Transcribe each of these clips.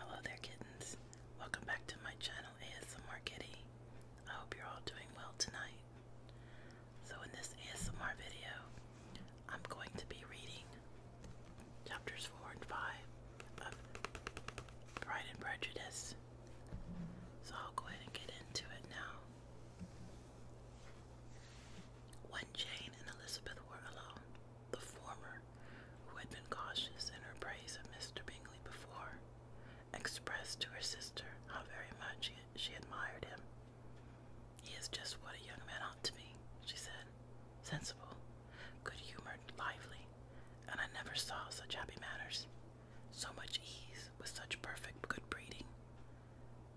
Hello there, kittens. Welcome back to my channel, ASMR Kitty. I hope you're all doing well tonight. So, in this ASMR video, I'm going to be reading chapters 4 and 5 of Pride and Prejudice. So, I'll go ahead and get into it now. When Jane and Elizabeth were alone, the former who had been cautious in her praise of Mr. Bingley before, expressed to her sister how very much she admired him. He is just what a young man ought to be, she said, sensible, good humored, lively, and I never saw such happy manners, so much ease, with such perfect good breeding.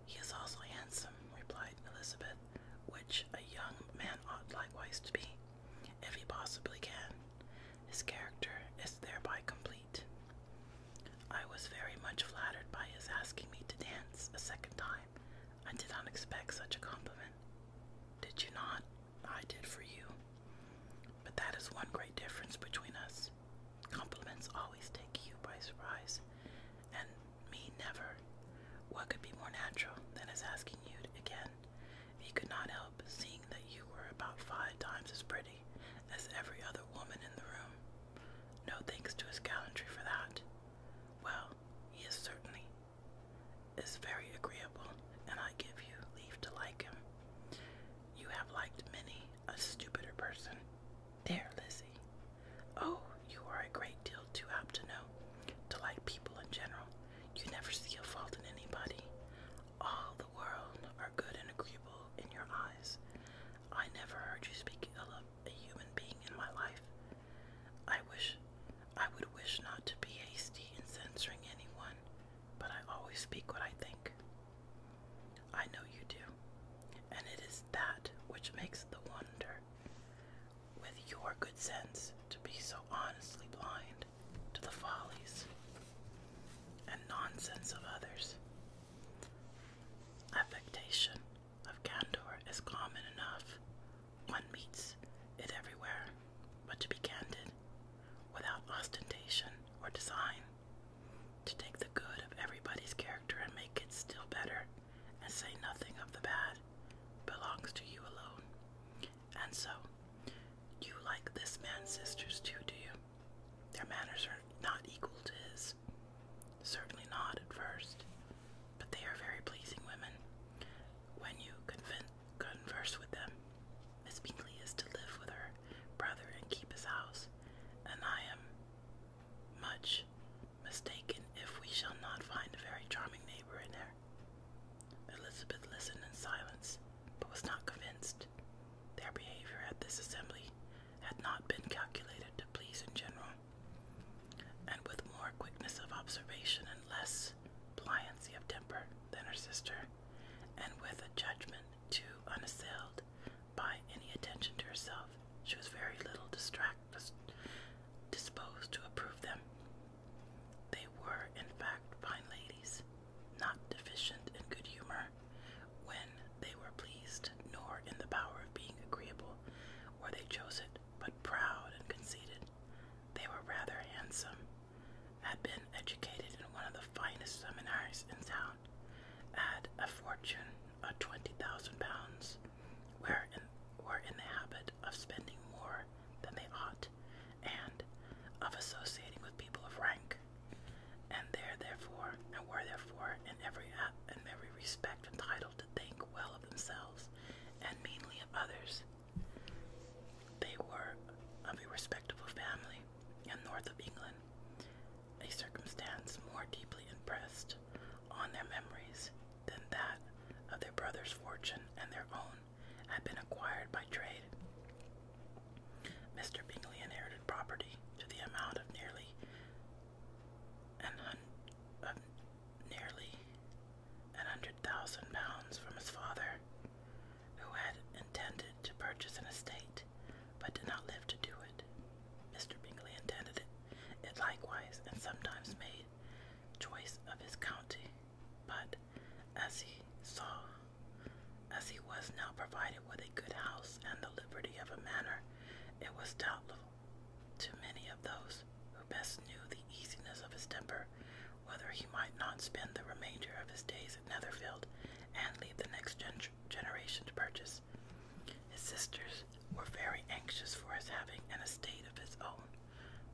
He is also handsome, replied Elizabeth which a young man ought likewise to be, if he possibly can. His character is thereby complete. I was very much flattered by his asking me to dance a second time. I did not expect such a compliment. Did you not? I did for you. But that is one great difference between us. Compliments always take you by surprise, and me never. What could be more natural than his asking you again? He could not help seeing that you were about five times as pretty as every other woman in the room. No thanks to his gallantry for that. Well, he is certainly is very agreeable, and I give you leave to like him. You have liked many a stupider person. There, Lizzie, Oh, you are a great deal too apt to know, to like people in general. You never see a fault in anybody. All the world are good and agreeable in your eyes. I never heard you speak ill of a human being in my life. I wish I would wish not to be hasty in censoring anyone, but I always speak what I think. I know you do, and it is that which makes the wonder with your good sense to be so honestly blind to the follies and nonsense of others. Affectation of candor is common enough. One meets it everywhere, but to be candid, without ostentation or design, to take the good of everybody's character and make it still better, and say nothing of the bad belongs to you alone. And so, you like this man's sisters too, do you? Their manners are not equal to his. Certainly not at first, but they are very pleasing women when you converse with them. Miss Bingley is to live with her brother and keep his house, and I am much mistaken if we shall not find a very charming neighbor in there. Elizabeth listened in silence, but was not convinced. Their behavior at this assembly had not been calculated to please in general, and with more quickness of observation and less pliancy of temper than her sister, and with a judgment too unassailed by any attention to herself. She was very little distract, disposed to approve them. They were, in fact, fine ladies, not deficient in good humor when they were pleased, nor in the power of being agreeable where they chose it, but proud and conceited. They were rather handsome, had been educated in one of the finest seminaries in town, account a fortune of twenty thousand pounds, were in, were in the habit of spending more than they ought, and of associating with people of rank, and there therefore and were therefore in every in every respect entitled to think well of themselves and mainly of others. They were of a respectable family in north of England, a circumstance more deeply impressed on their memories than that of their brother's fortune and their own had been acquired by trade. Mr. Bingley inherited property to the amount of nearly an hun of nearly an hundred thousand pounds from his father, who had intended to purchase an estate but did not live to do it. Mr. Bingley intended it, it likewise and sometimes made choice of his county, but as he saw, as he was now provided with a good house and the liberty of a manor, it was doubtful to many of those who best knew the easiness of his temper whether he might not spend the remainder of his days Netherfield and leave the next generation to purchase. His sisters were very anxious for his having an estate of his own,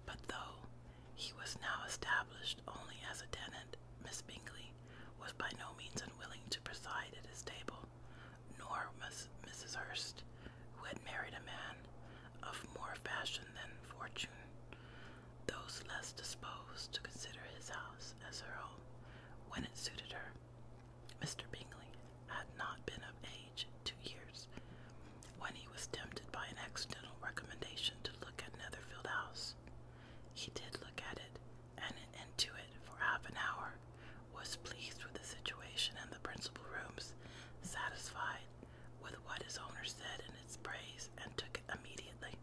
but though he was now established only as a tenant, Miss Bingley was by no means unwilling to preside at his table, nor was Mrs. Hurst, who had married a man of more fashion than fortune those less disposed to consider his house as her home when it suited her. Mr. Bingley had not been of age two years when he was tempted by an accidental recommendation to look at Netherfield House. He did look at it and into it for half an hour, was pleased with the situation and the principal rooms, satisfied with what his owner said in its praise, and took it immediately.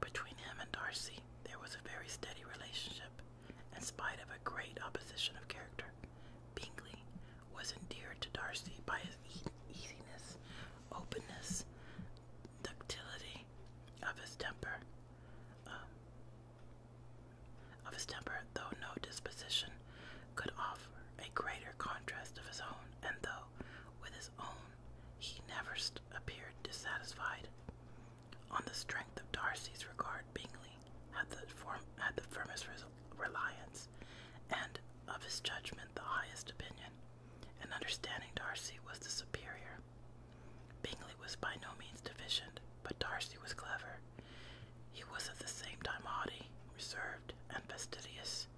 Between him and Darcy, there was a very steady relationship, in spite of a great opposition of character. Bingley was endeared to Darcy by his easiness, openness, ductility of his temper, um, of his temper, though no disposition could offer a greater contrast of his own, and though with his own he never appeared dissatisfied. On the strength of Darcy's regard, Bingley had the, firmest reliance, and of his judgment the highest opinion, and understanding Darcy was the superior. Bingley was by no means deficient, but Darcy was clever. He was at the same time haughty, reserved, and fastidious,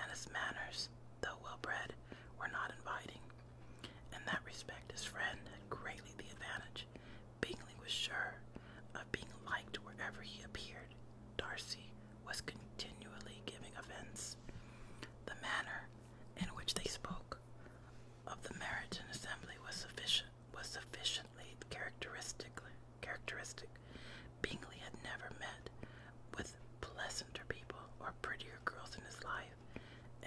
and his manners, though well bred, were not inviting. In that respect, his friend had greatly the advantage. Bingley was sure of being liked wherever he appeared. Darcy was continually giving offense. The manner in which they spoke of the marriage and assembly was was sufficiently characteristically characteristic. Bingley had never met with pleasanter people or prettier girls in his life.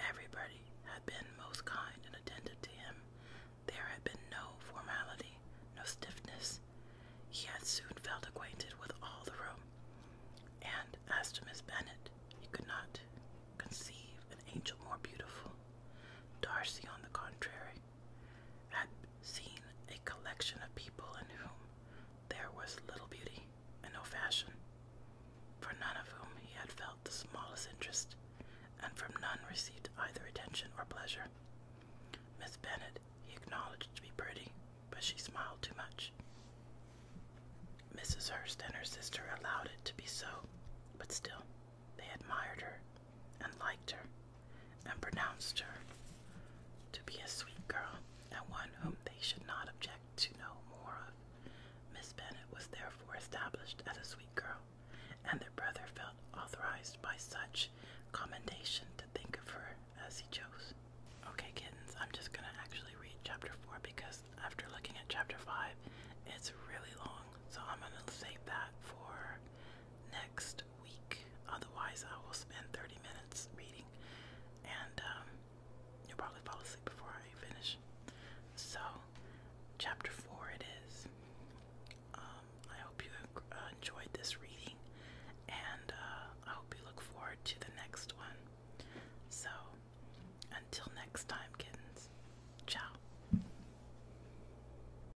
Everybody had been most kind and attentive to him. There had been no formality, no stiffness. He had soon felt acquainted with all the room. And as to Miss Bennet, he could not conceive an angel more beautiful. Darcy, on the contrary, had seen a collection of people in whom there was little beauty and no fashion, for none of whom he had felt the smallest interest, and from none received either attention or pleasure. Miss Bennet he acknowledged to be pretty, but she smiled too much. Mrs. Hurst and her sister allowed it to be so, but still they admired her and liked her and pronounced her to be a sweet girl and one whom they should not object to know more of. Miss Bennet was therefore established as a sweet girl, and their brother felt authorized by such commendation to think of her as he chose. Okay, kittens, I'm just gonna actually read chapter 4 because after looking at chapter 5, it's really long, so I'm gonna save that for next week. Otherwise, I will spend 30 minutes reading and um, you'll probably fall asleep before I finish. So, chapter 4 it is. Um, I hope you uh, enjoyed this reading and uh, I hope you look forward to the next one. So, until next time, kittens, ciao.